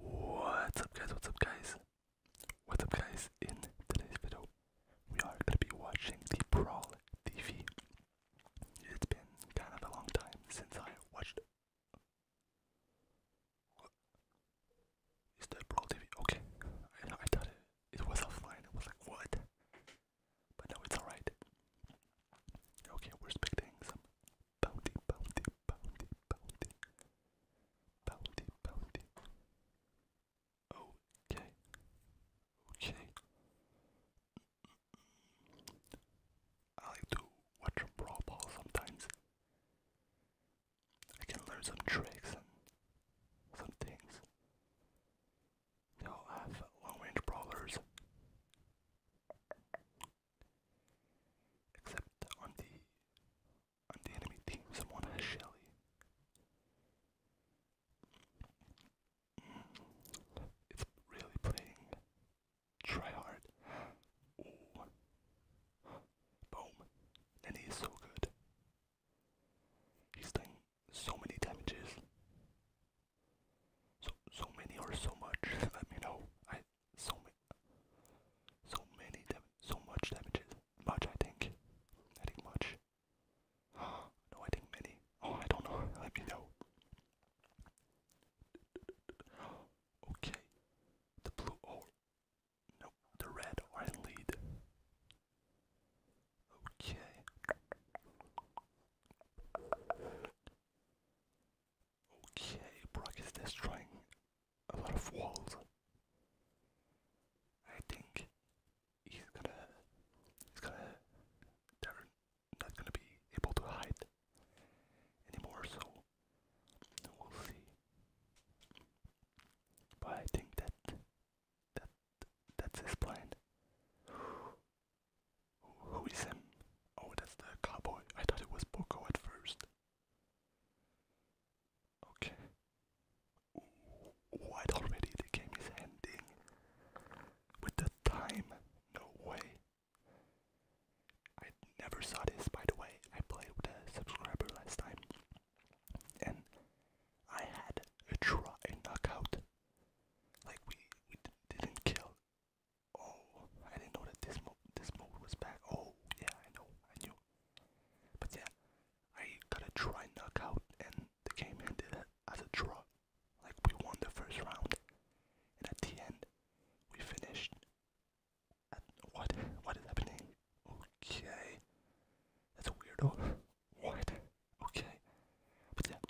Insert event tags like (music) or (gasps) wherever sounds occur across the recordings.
What's up guys, what's up guys? What's up guys? In today's video, we are gonna be watching the Brawl TV. It's been kind of a long time since I watched what? Is that Brawl TV? Okay. I know I thought it, it was offline. I was like what? But no, it's alright. Okay, we're expecting bounty, bounty, bounty, bounty, bounty, bounty. Okay, okay. I like to watch a sometimes. I can learn some tricks and some things. They all have long range brawlers. Except on the on the enemy team, someone has Shelly. Mm. it's really playing try hard. Boom. And he is so good. He's done so many damages. So so many or so much, (laughs) let me know so many, so many damage, so much damages. Much, I think. I think much. (gasps) no, I think many. Oh, I don't know. (laughs) Let me know. (gasps) Okay, the blue or oh, no, the red are lead. Okay. Okay, Brock is destroying a lot of walls. I think he's gonna he's gonna they're not gonna be able to hide anymore so we'll see. But I think that that that's his plan. Who is him? Oh, that's the cowboy. I thought it was Boko at first. Okay. what already? The game is ending. With the time? No way. I never saw this, by the way. I played with a subscriber last time. And I had a try, a knockout. Like, we, we didn't kill Oh, I didn't know that this mode this mode was back. Oh, yeah, I know, I knew. But yeah, I got a try out, and the game ended as a draw. Like we won the first round, and at the end, we finished. what? What is happening? Okay, that's a weirdo. What? Okay, but yeah,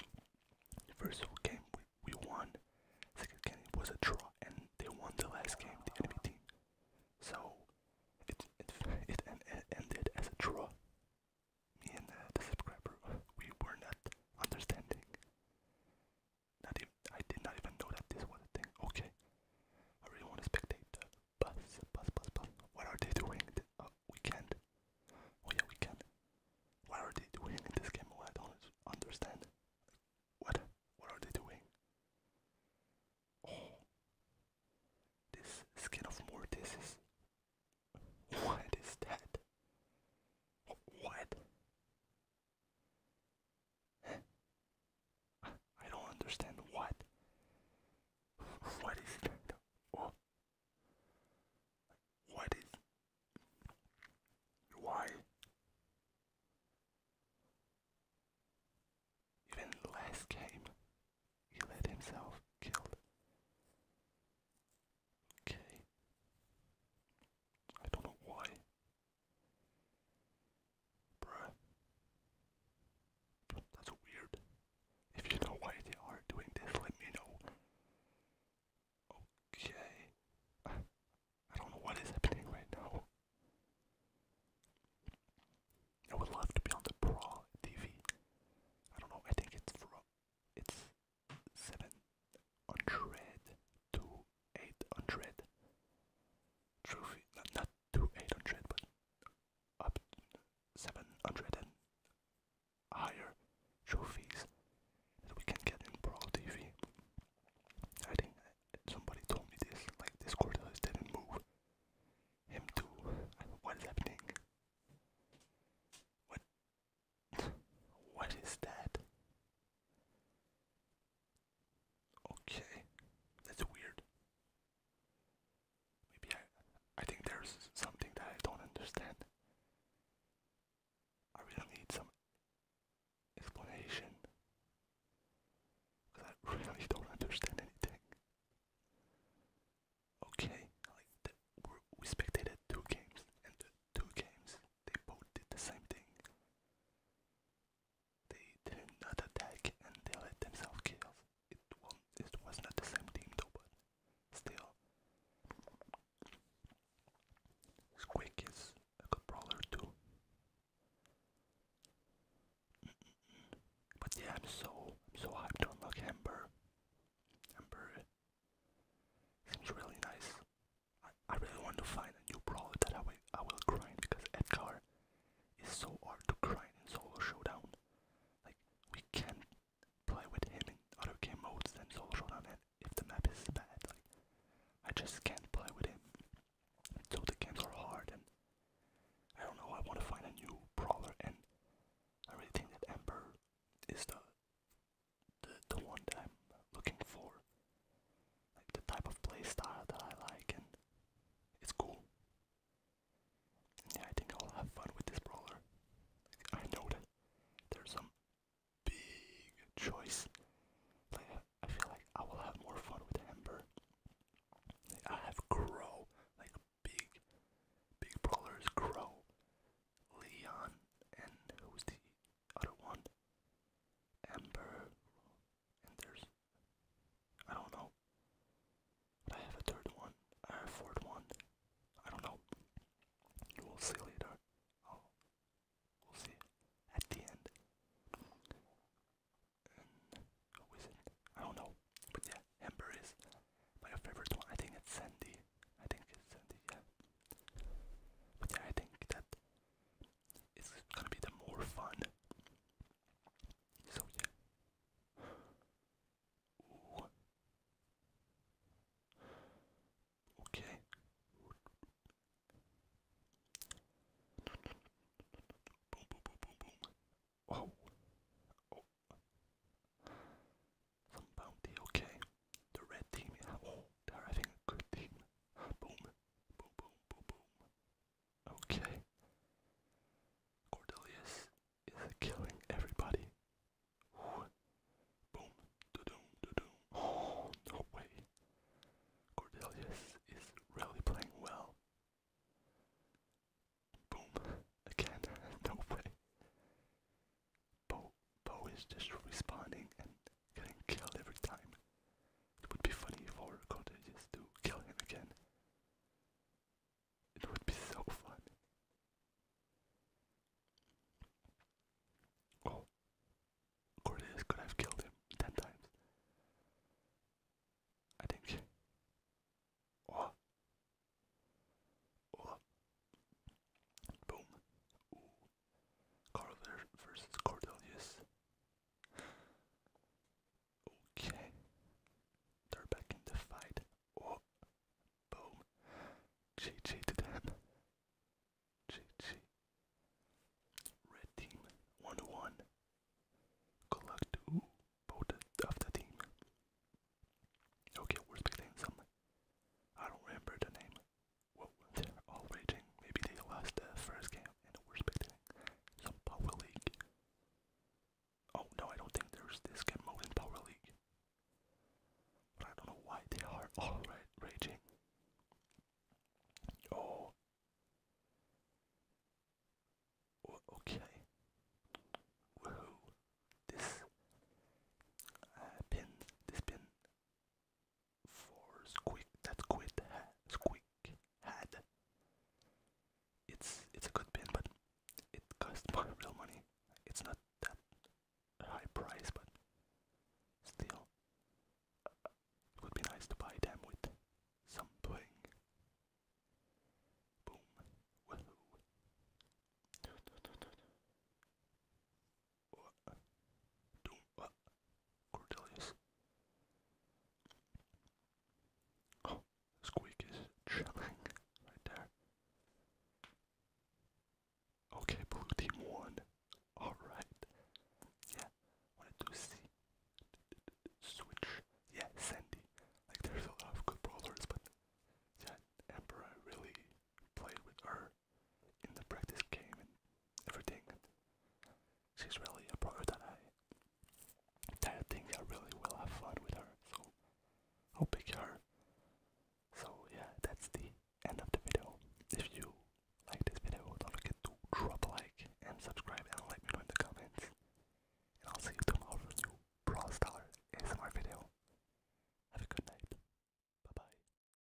the first game we we won. Second game was a draw, and they won the last game, the enemy team. So it it it, ended as a draw. Me and uh, the subscriber, we were not understanding. Not even, I did not even know that this was a thing. Okay, I really want to What are they doing? Uh, we Oh yeah, we can. What are they doing in this game? I don't understand. What? What are they doing? Oh, this skin of Mortis is. (laughs) What is that? What? I don't understand what. (laughs) What is that? Oh, what is. Why? Even last game, he let himself killed. Okay. I don't know why. Bruh. That's weird. If you know why they are doing this, let me know. Okay. I don't know what is happening right now. I would love to be on the Pro TV. I don't know, I think it's from it's 700 to 800 trophy, not, not 800, but up 700 and higher trophies that we can get in Brawl TV. I think somebody told me this, like this Cordelis didn't move. Him too. What is happening? What? what is that? Okay, that's weird. Maybe I, I think there's something that I don't understand. I really need some explanation because I really don't understand anything. Okay, like the, we spectated two games, and the two games they both did the same thing. They did not attack and they let themselves kill it, well, it was not the same team though, but still. Squeak is a good brawler too. But yeah, so so hyped to unlock Ember. Ember uh, seems really nice. I, I really want to find a new brawler that I will I will grind because Edgar is so hard to grind in solo showdown. Like we can play with him in other game modes than solo showdown if the map is bad. Like I just can't play with him. So the games are hard and I don't know, I wanna find a new brawler and I really think that Ember is the the the one that I'm looking for. Like the type of playstyle that I like and it's cool. Yeah, I think I'll have fun with this brawler. I know that there's some big choice. Like, I feel like I will have more fun with Ember. I have Crow, like big, big brawlers. Crow, Leon, and who's the other one? Ember, there's I don't know. I have a third one. I have a fourth one. I don't know. We'll see later. Oh, we'll see at the end. And who is it? I don't know. But yeah, Amber is my favorite one. I think it's Sandy. I think it's Sandy, yeah. But yeah, I think that it's gonna be the more fun. So yeah, Okay. Boom, boom, boom, boom, boom. Oh. Oh. Some bounty, okay. The red team, oh, they're having a good team. Boom, boom, boom, boom, boom. Okay. Cordelius is killing everybody. Boom. Do-doom, do-doom. Oh, no way. Cordelius is really playing well. Boom. Again. (laughs) no way. Bo, Bo is just responding and getting killed every time. It would be funny for Cordelis to kill him again. It would be so fun. Oh, Cordelis could have killed him ten times. I think. Oh. Oh. Boom. Ooh. Carver versus Cordelius. Okay. They're back in the fight. Oh, boom. GG to them. GG. Red team 1 1. Good luck both of the team. Okay, we're expecting something. I don't remember the name. Well, they're all raging. Maybe they lost the first game and we're expecting some Power League. Oh no, I don't think there's this game mode in Power League. But I don't know why they are all (laughs) raging. Oh. okay. Woohoo. This uh, pin, this pin for Squeak that Squid had. It's it's a good pin, but it costs (laughs) my real money. It's not that high price, but still, it would be nice to buy them with some bling. Don't what? chilling right there. Okay, blue team won. Alright. Yeah, wanted to see. Switch. Yeah, Sandy. Like, there's a lot of good brawlers, but yeah, Emperor really played with her in the practice game and everything. she's really a pro that I I think I really will have fun with her. So I'll pick her. So yeah, that's the end of the video. If you like this video, don't forget to drop a like and subscribe and let me know in the comments. And I'll see you tomorrow for a new Brawl Stars ASMR video. Have a good night. Bye bye.